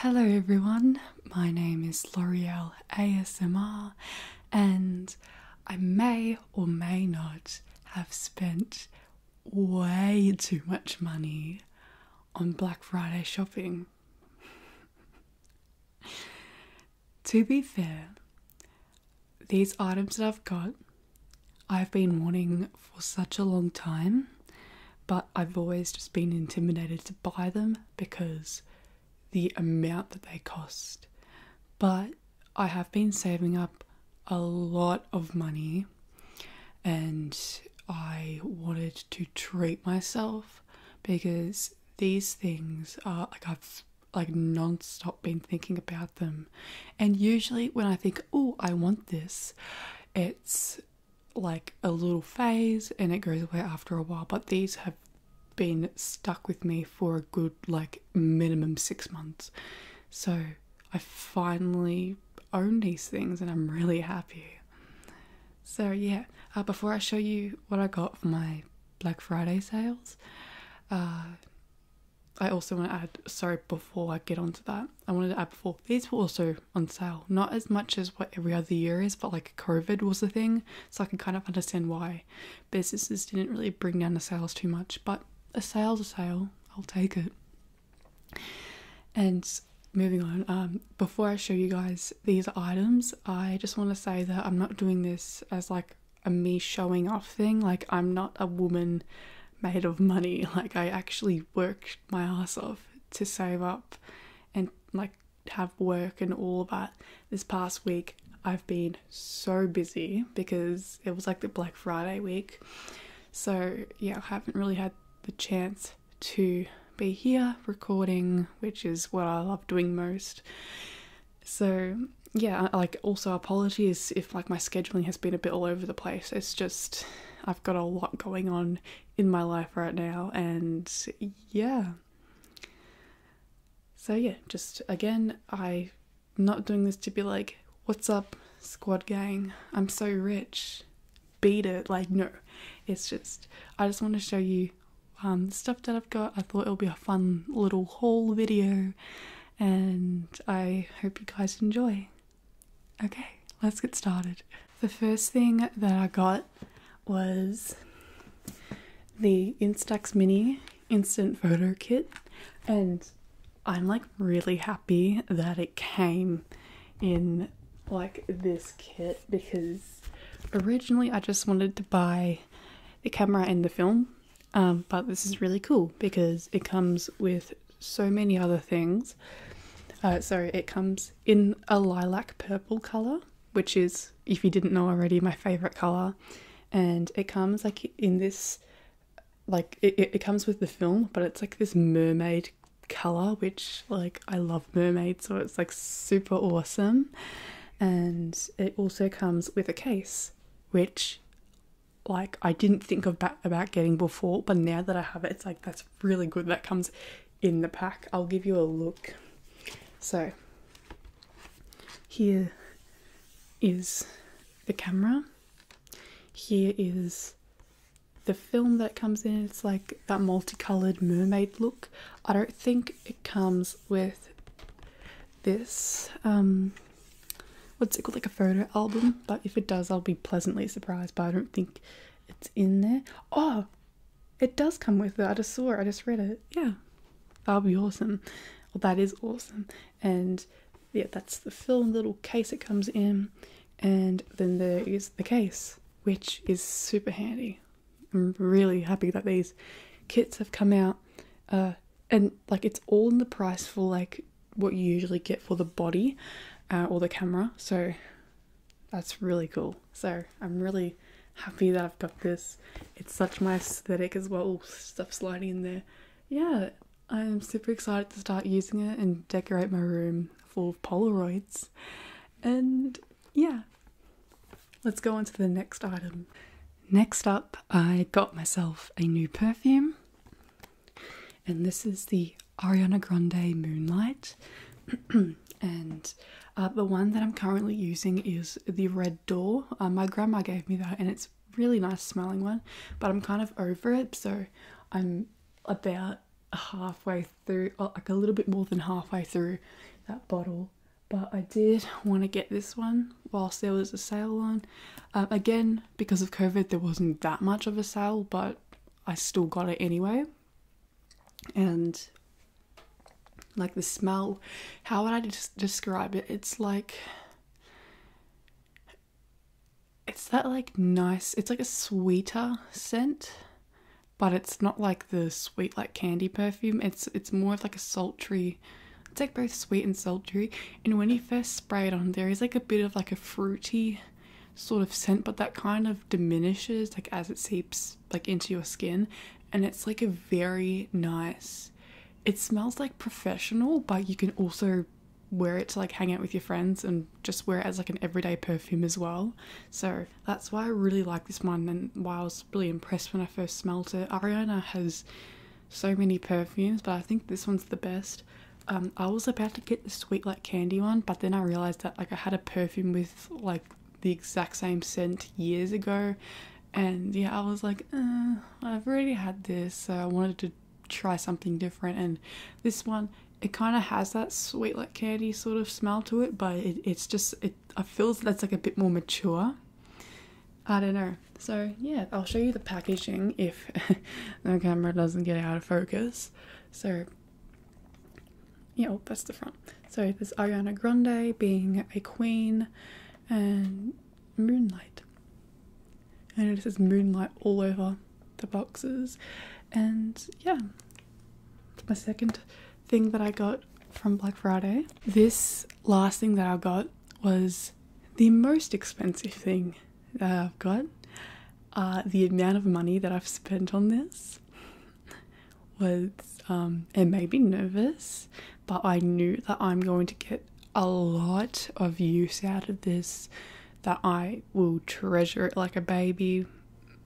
Hello everyone, my name is L'Oreal ASMR, and I may or may not have spent way too much money on Black Friday shopping. to be fair, these items that I've got, I've been wanting for such a long time, but I've always just been intimidated to buy them because the amount that they cost. But I have been saving up a lot of money and I wanted to treat myself because these things are like I've like non-stop been thinking about them and usually when I think oh I want this it's like a little phase and it goes away after a while, but these have been stuck with me for a good like minimum six months. So I finally own these things and I'm really happy. So, yeah, uh, before I show you what I got for my Black Friday sales, uh, I also want to add sorry, before I get onto that, I wanted to add before these were also on sale. Not as much as what every other year is, but like COVID was a thing, so I can kind of understand why businesses didn't really bring down the sales too much. But a sale's a sale, I'll take it. And moving on, um, before I show you guys these items, I just want to say that I'm not doing this as like a me showing off thing. Like, I'm not a woman made of money. Like, I actually work my ass off to save up and like have work and all of that. This past week, I've been so busy because it was like the Black Friday week. So, yeah, I haven't really had the chance to be here recording, which is what I love doing most. So, yeah, like also apologies if like my scheduling has been a bit all over the place. It's just I've got a lot going on in my life right now, and yeah. So, yeah, just again, I'm not doing this to be like, what's up, squad gang? I'm so rich. Beat it. Like, no. It's just, I just want to show you um, stuff that I've got. I thought it would be a fun little haul video, and I hope you guys enjoy. Okay, let's get started. The first thing that I got was the Instax Mini Instant Photo Kit, and I'm like really happy that it came in like this kit because originally I just wanted to buy the camera and the film, um, but this is really cool because it comes with so many other things. Uh, so it comes in a lilac purple color, which is, if you didn't know already, my favorite color. And it comes like in this, like it comes with the film, but it's like this mermaid color, which like I love mermaids, so it's like super awesome. And it also comes with a case, which like I didn't think of about getting before, but now that I have it, it's like that's really good. That comes in the pack. I'll give you a look. So here is the camera. Here is the film that comes in. It's like that multicolored mermaid look. I don't think it comes with this. Um, what's it called like a photo album but if it does i'll be pleasantly surprised but i don't think it's in there oh it does come with it i just saw it i just read it yeah that'll be awesome well that is awesome and yeah that's the film little case it comes in and then there is the case which is super handy i'm really happy that these kits have come out uh, and like it's all in the price for like what you usually get for the body uh, or the camera so that's really cool so i'm really happy that i've got this it's such my aesthetic as well stuff sliding in there yeah i'm super excited to start using it and decorate my room full of polaroids and yeah let's go on to the next item next up i got myself a new perfume and this is the Ariana Grande Moonlight. and uh, the one that I'm currently using is the Red Door. Uh, my grandma gave me that, and it's a really nice smelling one, but I'm kind of over it, so I'm about halfway through, oh, like a little bit more than halfway through that bottle. But I did want to get this one whilst there was a sale on. Um, again, because of COVID, there wasn't that much of a sale, but I still got it anyway. And like the smell, how would I describe it? It's like it's that like nice, it's like a sweeter scent, but it's not like the sweet like candy perfume. It's it's more of like a sultry it's like both sweet and sultry, and when you first spray it on, there is like a bit of like a fruity sort of scent, but that kind of diminishes like as it seeps like into your skin, and it's like a very nice. It smells like professional, but you can also wear it to like hang out with your friends and just wear it as like an everyday perfume as well. So that's why I really like this one and why I was really impressed when I first smelled it. Ariana has so many perfumes, but I think this one's the best. Um, I was about to get the sweet like candy one, but then I realized that like I had a perfume with like the exact same scent years ago, and yeah, I was like, uh, I've already had this, so I wanted to try something different. And this one, it kind of has that sweet like candy sort of smell to it, but it's just it. feels feel that's like a bit more mature. I don't know. So, yeah, I'll show you the packaging if the camera doesn't get out of focus. So, yeah, well, oh, that's the front. So, there's Ariana Grande being a queen and Moonlight. And it says Moonlight all over the boxes. And yeah, my second thing that I got from Black Friday. This last thing that I got was the most expensive thing that I've got. Uh, the amount of money that I've spent on this was, um, it made me nervous, but I knew that I'm going to get a lot of use out of this, that I will treasure it like a baby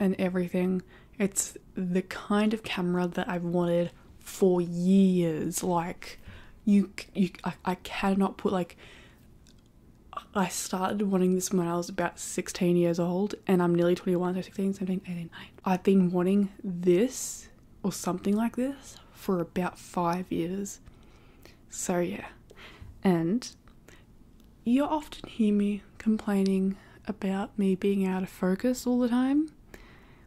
and everything. It's the kind of camera that I've wanted for years like you you I, cannot put like I started wanting this when I was about 16 years old and I'm nearly 21 so 16 17 18 I've been wanting this or something like this for about 5 years so yeah and you often hear me complaining about me being out of focus all the time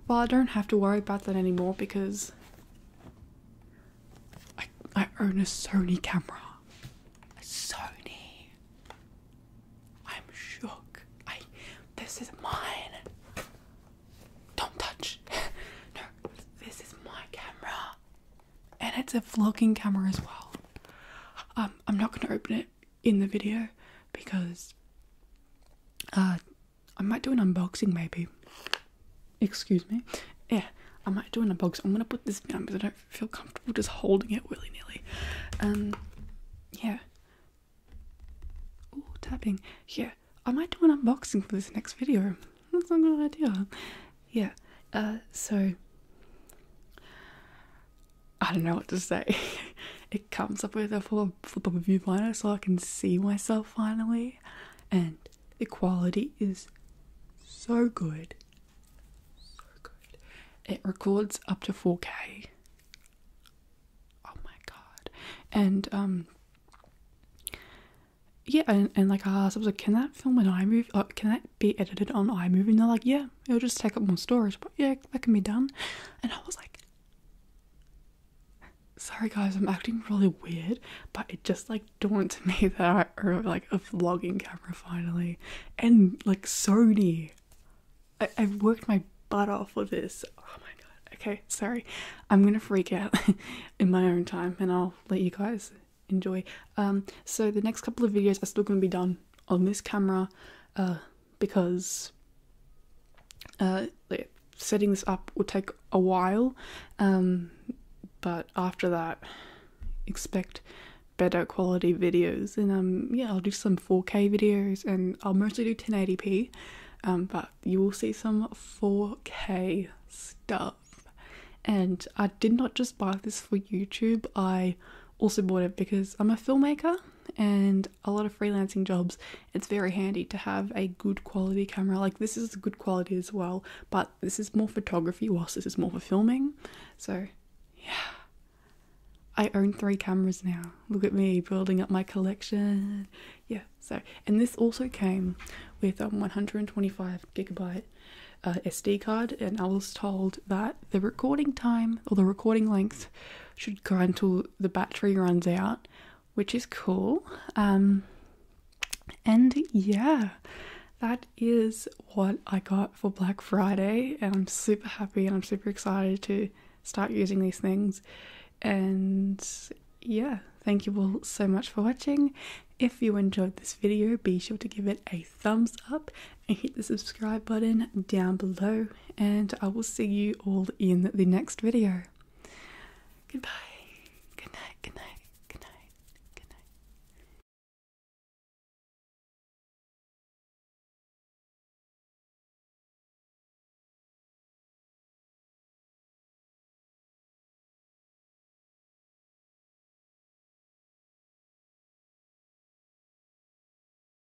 well, I don't have to worry about that anymore because I, I own a Sony camera. A Sony. I'm shook. I. This is mine. Don't touch. no, this is my camera. And it's a vlogging camera as well. Um, I'm not going to open it in the video because uh, I might do an unboxing maybe. Excuse me. Yeah, I might do an unboxing. I'm gonna put this down because I don't feel comfortable just holding it really, nilly. Um, yeah. Oh, tapping. Yeah, I might do an unboxing for this next video. That's not a good idea. Yeah. Uh, so I don't know what to say. it comes up with a full flip view viewfinder so I can see myself finally. And the quality is so good. So good. It records up to 4K. Oh my god. And um yeah, and, and like I asked, I was like, can that film an iMovie? Uh, can that be edited on iMovie? And they're like, yeah, it'll just take up more storage, but yeah, that can be done. And I was like, Sorry guys, I'm acting really weird, but it just like dawned to me that I own like a vlogging camera finally, and like Sony. I I've worked my butt off for this. Oh my god. Okay, sorry. I'm gonna freak out in my own time, and I'll let you guys enjoy. Um, so the next couple of videos are still gonna be done on this camera. Uh, because uh, setting this up will take a while, um, but after that, expect better quality videos. And um, yeah, I'll do some 4K videos, and I'll mostly do 1080p. Um, but you will see some 4K stuff. And I did not just buy this for YouTube. I also bought it because I'm a filmmaker and a lot of freelancing jobs, it's very handy to have a good quality camera. Like this is good quality as well, but this is more photography, whilst this is more for filming. So, yeah. I own three cameras now. Look at me building up my collection. Yeah, so and this also came with a 125 gigabyte uh, SD card, and I was told that the recording time or the recording length should go until the battery runs out, which is cool. Um, and yeah, that is what I got for Black Friday, and I'm super happy and I'm super excited to start using these things. And yeah, thank you all so much for watching. If you enjoyed this video, be sure to give it a thumbs up and hit the subscribe button down below and I will see you all in the next video. Goodbye. Good night. Good night. Good night. Good night.